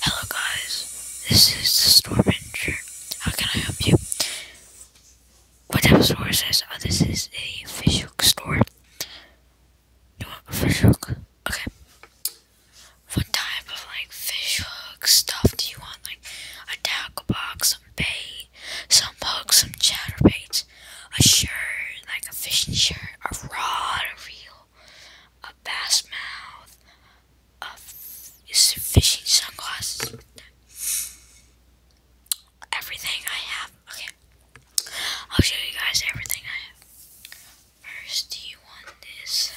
Hello guys, this is the store manager. How can I help you? What type of store says? Oh, this is a fish hook store. You want a fish hook? Okay. What type of like fish hook stuff do you want? Like a tackle box, some bait, some hooks, some chatterbaits, a shirt, like a fishing shirt, a rod, a reel a bass mouth, a f- fishing sunglasses, everything I have. Okay, I'll show you guys everything I have. First, do you want this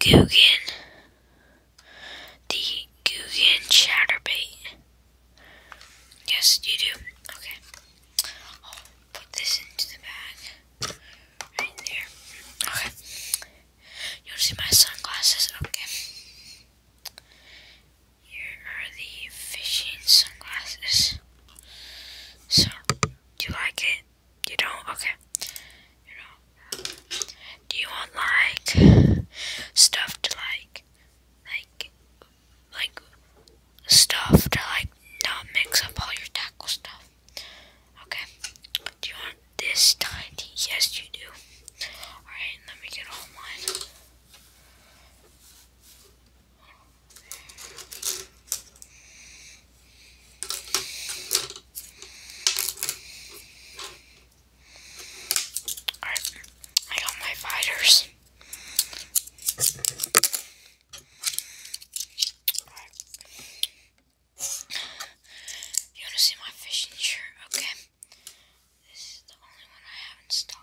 Googan, the Guggen chatterbait? Yes, you do. Okay. Oh, put this into the bag right there. Okay. You'll see my sunglasses. Okay. Here are the fishing sunglasses. So, do you like it? You don't? Okay. You know. Do you want like stuff to like, like like stuff to like not mix up all your tackle stuff. Okay. Do you want this tiny? Yes, you do. Alright, let me get all mine. Alright, I got my fighters. Alright. You want to see my fishing shirt? Okay. This is the only one I have in stock.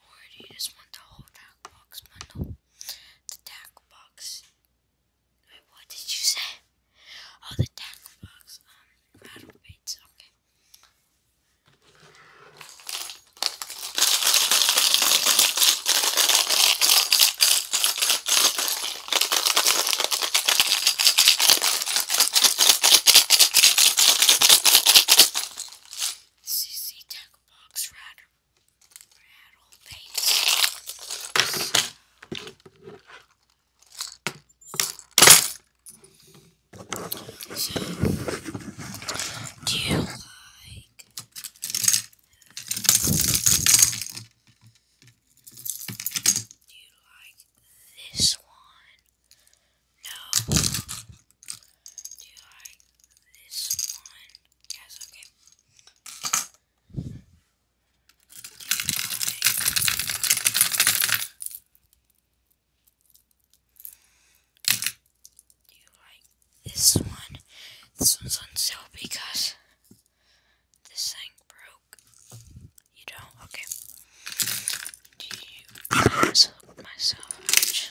Or do you just want the whole box bundle? The tack box. Wait, what did you say? Oh, the tack box. Um, battle baits. Okay box rat rattle paint. So, do you like do you like this one? No. Do you this one? Yes, okay. Do you this one? This one's on sale because this thing broke. You don't? Okay. Do you myself much?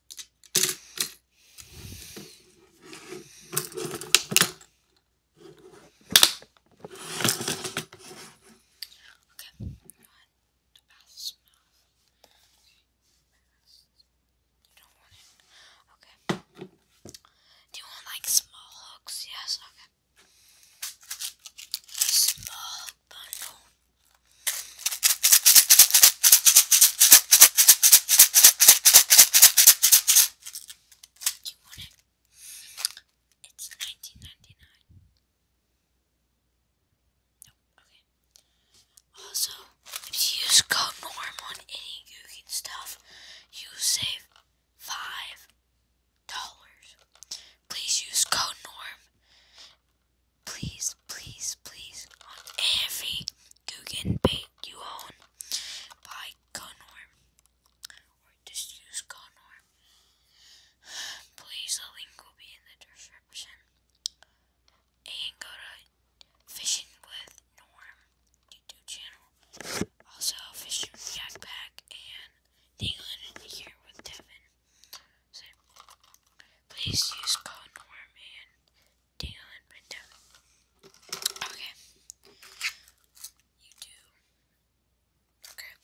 Okay, the bath smells. You don't want it. Okay. Do you want like small hooks? Yes, okay. Small bundle. You want it? It's nineteen ninety nine. No, okay. Also, if you use code norm on any Gookin stuff, you save five dollars. Please use code norm. Please please, please, on every Guggen bait you own, buy Gunworm, or just use Gunworm. Please, the link will be in the description. And go to Fishing with Norm YouTube channel. Also, Fishing with Jackpack and England here with Devin. So, please use code and Okay. You do. Okay.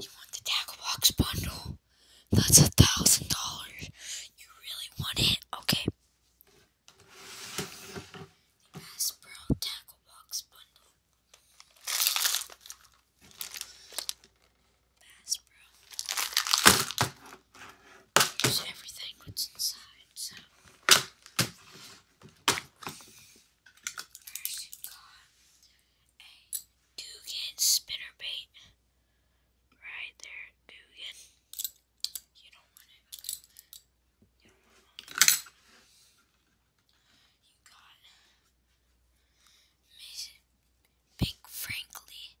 You want the tackle box bundle? That's a thousand dollars. You really want it? Okay. The tackle box bundle. Bass everything what's inside, so you got a Dugan spinnerbait right there, Dugan. You don't want it. You don't want it. You got Big Frankly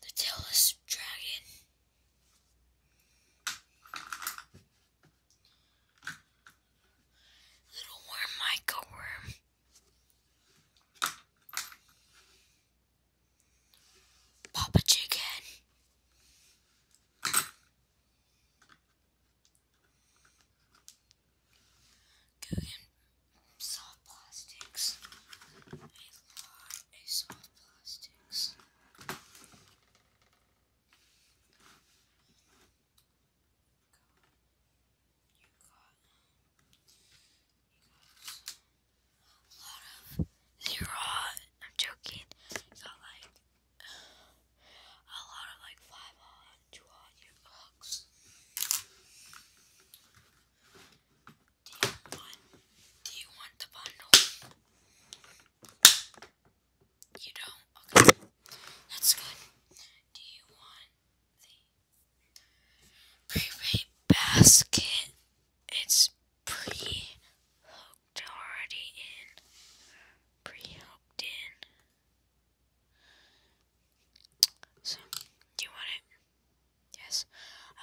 The tailless dragon. Little worm, micro worm. Papa Chicken. Guggen soft plastics. A lot of soft plastics. You got, you got a lot of zero. I'm joking. You got like a lot of like five books. Do you want do you want the bundle? You don't? That's good. Do you want the prepaid basket? It's pre hooked already in. Pre hooked in. So, do you want it? Yes.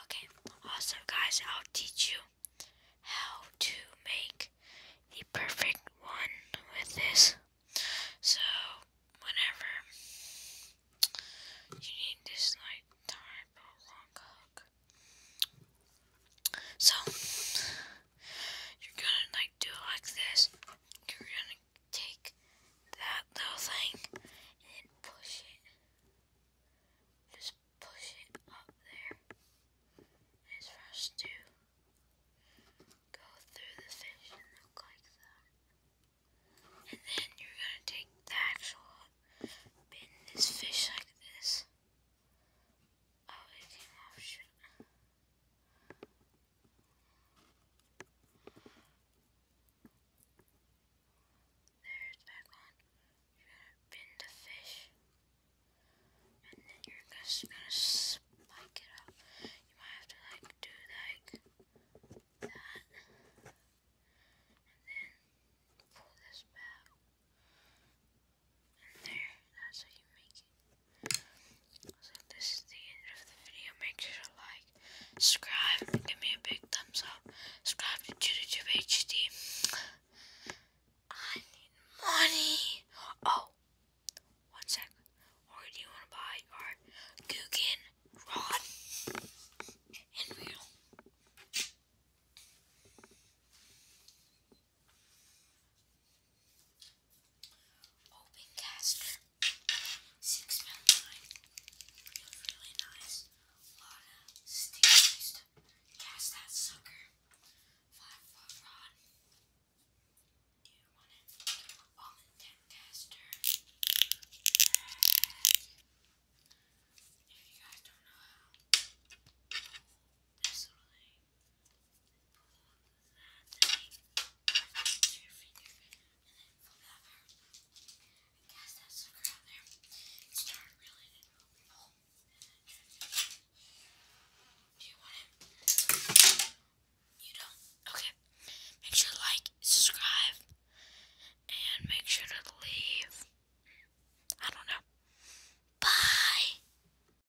Okay. Also, guys, I'll teach you how to make the perfect one with this. So, whenever you need this, like, type of So, you're gonna like do like this. You're gonna take that little thing and push it. Just push it up there as fast to go through the fish and look like that. And then you're gonna take the actual pin this fish like this editing option. There's background. You're gonna pin the fish, and then you're just gonna spike it up. You might have to like do like that, and then pull this back. And there, that's how you make it. So this is the end of the video, make sure to like, subscribe, give me a big thumbs up, subscribe to JudaTube HD. I need money. Oh, one Or do you want to buy our Guggen rod and reel? Open caster. Six pound nine. really nice. A lot cast that sucker. Five foot rod. you want it? Almond ten caster. If you guys don't know how, guess that's the crowd there. Okay. Make sure to like, subscribe, and make sure to leave. I don't know. Bye!